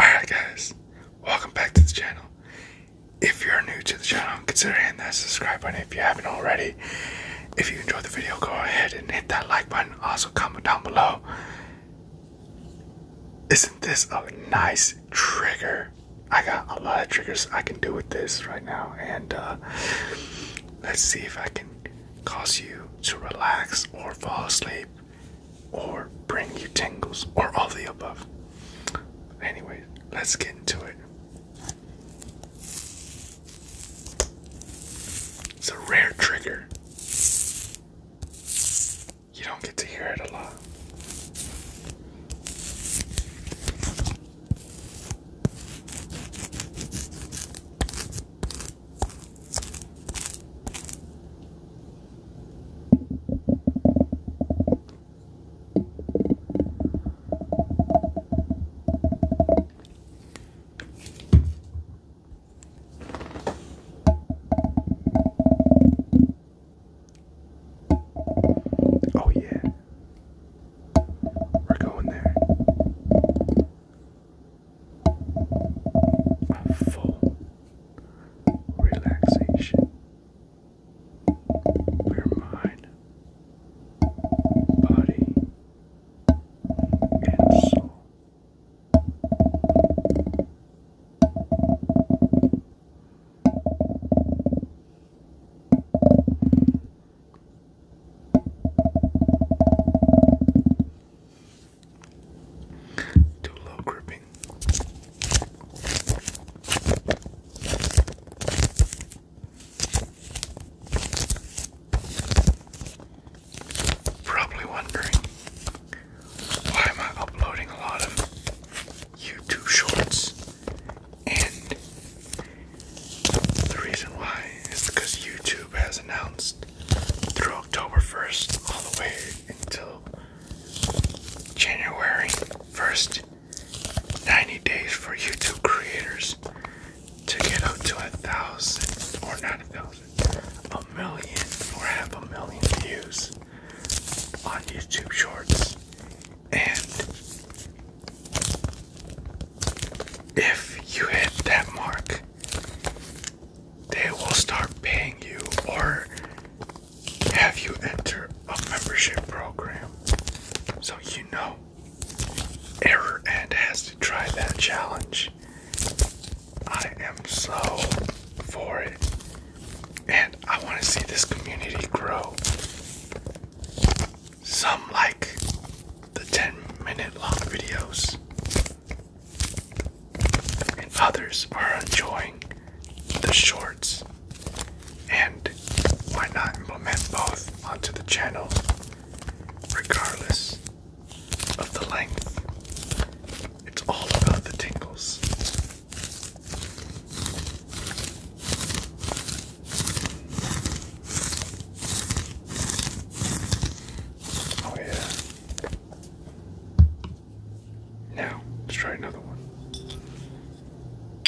Alright guys, welcome back to the channel. If you're new to the channel, consider hitting that subscribe button if you haven't already. If you enjoyed the video, go ahead and hit that like button. Also, comment down below. Isn't this a nice trigger? I got a lot of triggers I can do with this right now, and uh, let's see if I can cause you to relax or fall asleep or bring you tingles or all the above. Anyway, let's get into it. It's a rare trigger. You don't get to hear it a lot. Oh, yeah. We're going there. full relaxation. Your mind, body, and so. Too low gripping. Probably wondering why am I uploading a lot of YouTube shorts and the reason why is because YouTube has announced through October 1st all the way until January 1st 90 days for YouTube creators to get up to a thousand, or not a thousand, a million, or half a million views on YouTube Shorts. And if you hit that mark, they will start paying you or have you enter a membership program so you know error and has to try that challenge. I am so for it. And I want to see this community grow. Some like the 10 minute long videos, and others are enjoying the shorts. And why not implement both onto the channel regardless of the length? It's all about the tingles. Oh, yeah. Now, let's try another one.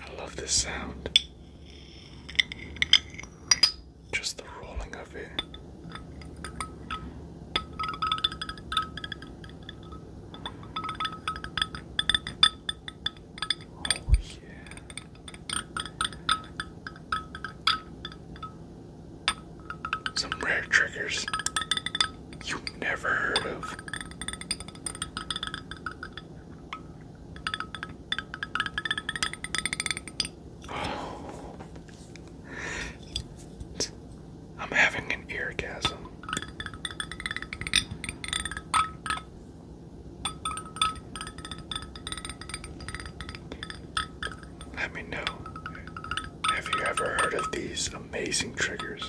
I love this sound. Just the rolling of it. Oh, yeah. Some rare triggers you've never heard of. I'm having an eargasm. Let me know. Have you ever heard of these amazing triggers?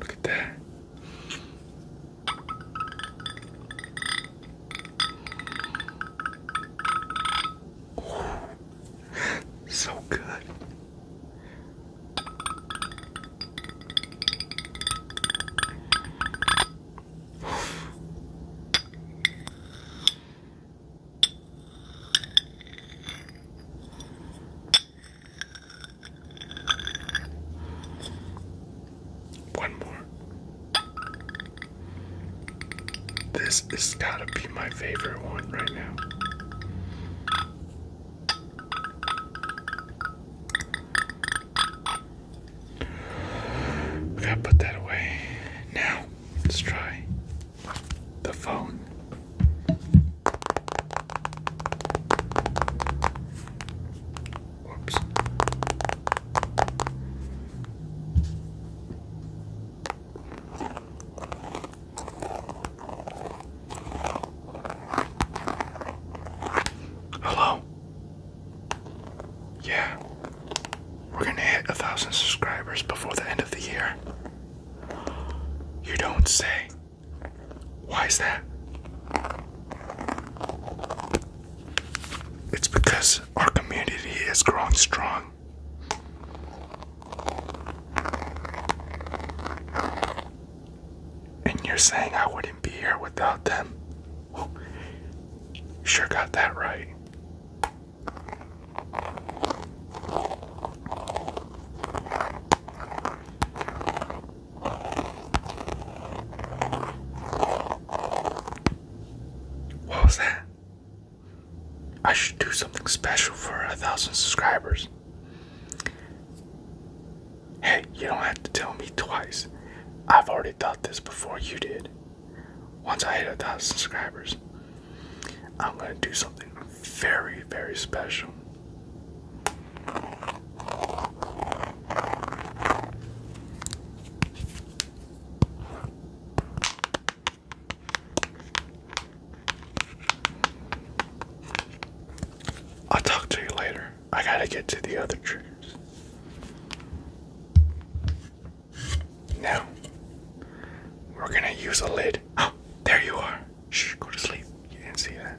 look at that. so good. One more. This has got to be my favorite one right now. We gotta put that away. Now, let's try the phone. Hello. Yeah, we're gonna hit a thousand subscribers before the end of the year. You don't say. Why is that? It's because our community is growing strong. And you're saying I wouldn't be here without them? Well, sure got that right. What was that? I should do something special for a thousand subscribers. Hey, you don't have to tell me twice. I've already thought this before you did. Once I hit a thousand subscribers, I'm gonna do something very, very special. I'll talk to you later. I gotta get to the other triggers. Now, we're gonna use a lid. Oh, there you are. Shh, go to sleep. You didn't see that.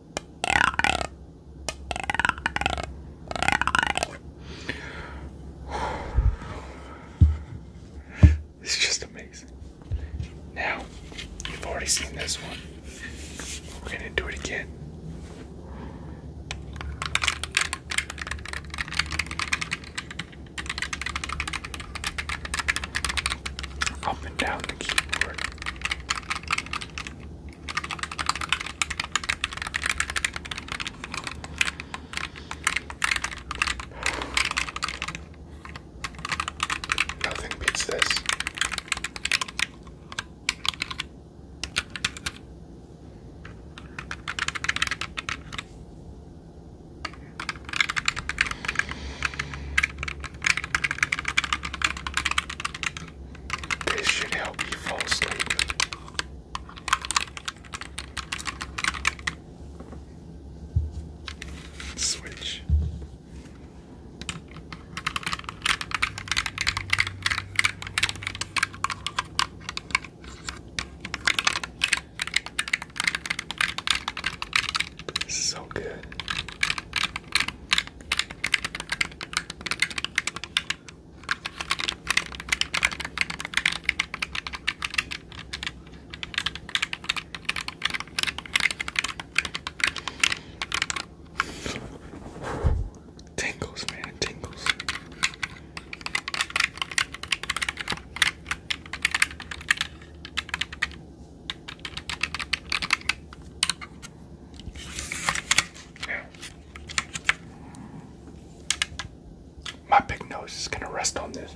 It's just amazing. Now, you've already seen this one. We're gonna do it again. Up and down the keyboard. Nothing beats this. This should help you fall Switch. So good. tingles, man, tingles my big nose is going to rest on this.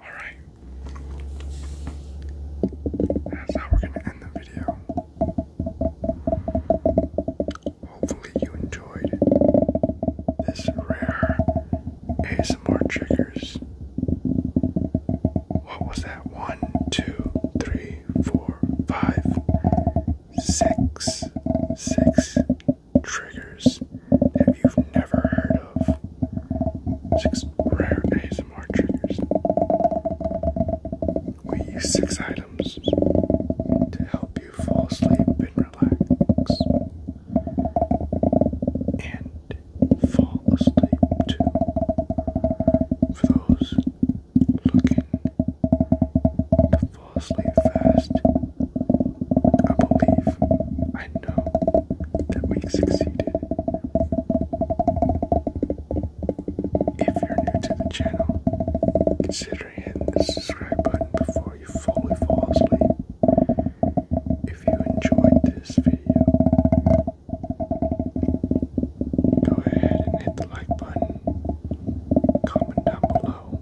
Alright. That's how we're going to end the video. Hopefully, you enjoyed this rare ASMR triggers. What was that? One, two, three, four, five, six, six triggers that you've never heard of. Six rare days more triggers. We use six items to help you fall asleep and relax. And fall asleep For those looking to fall asleep fast, I believe, I know that we succeeded. If you're new to the channel, consider hitting the subscribe button before you fully fall asleep. If you enjoyed this video, go ahead and hit the like button, comment down below,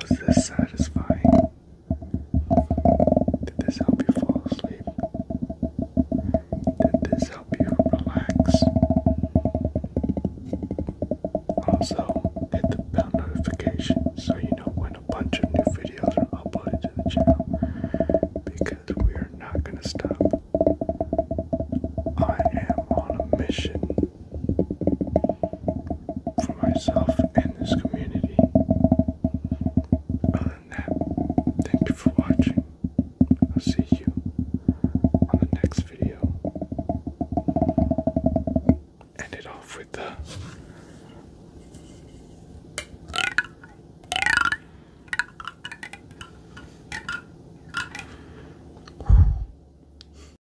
was this satisfying? Did this help you fall asleep? Did this help you relax? Also, hit the bell notification so you know when a bunch of new videos are uploaded to the channel because we are not going to stop. I am on a mission for myself and this community. Other than that, thank you for watching. I'll see you on the next video. End it off with the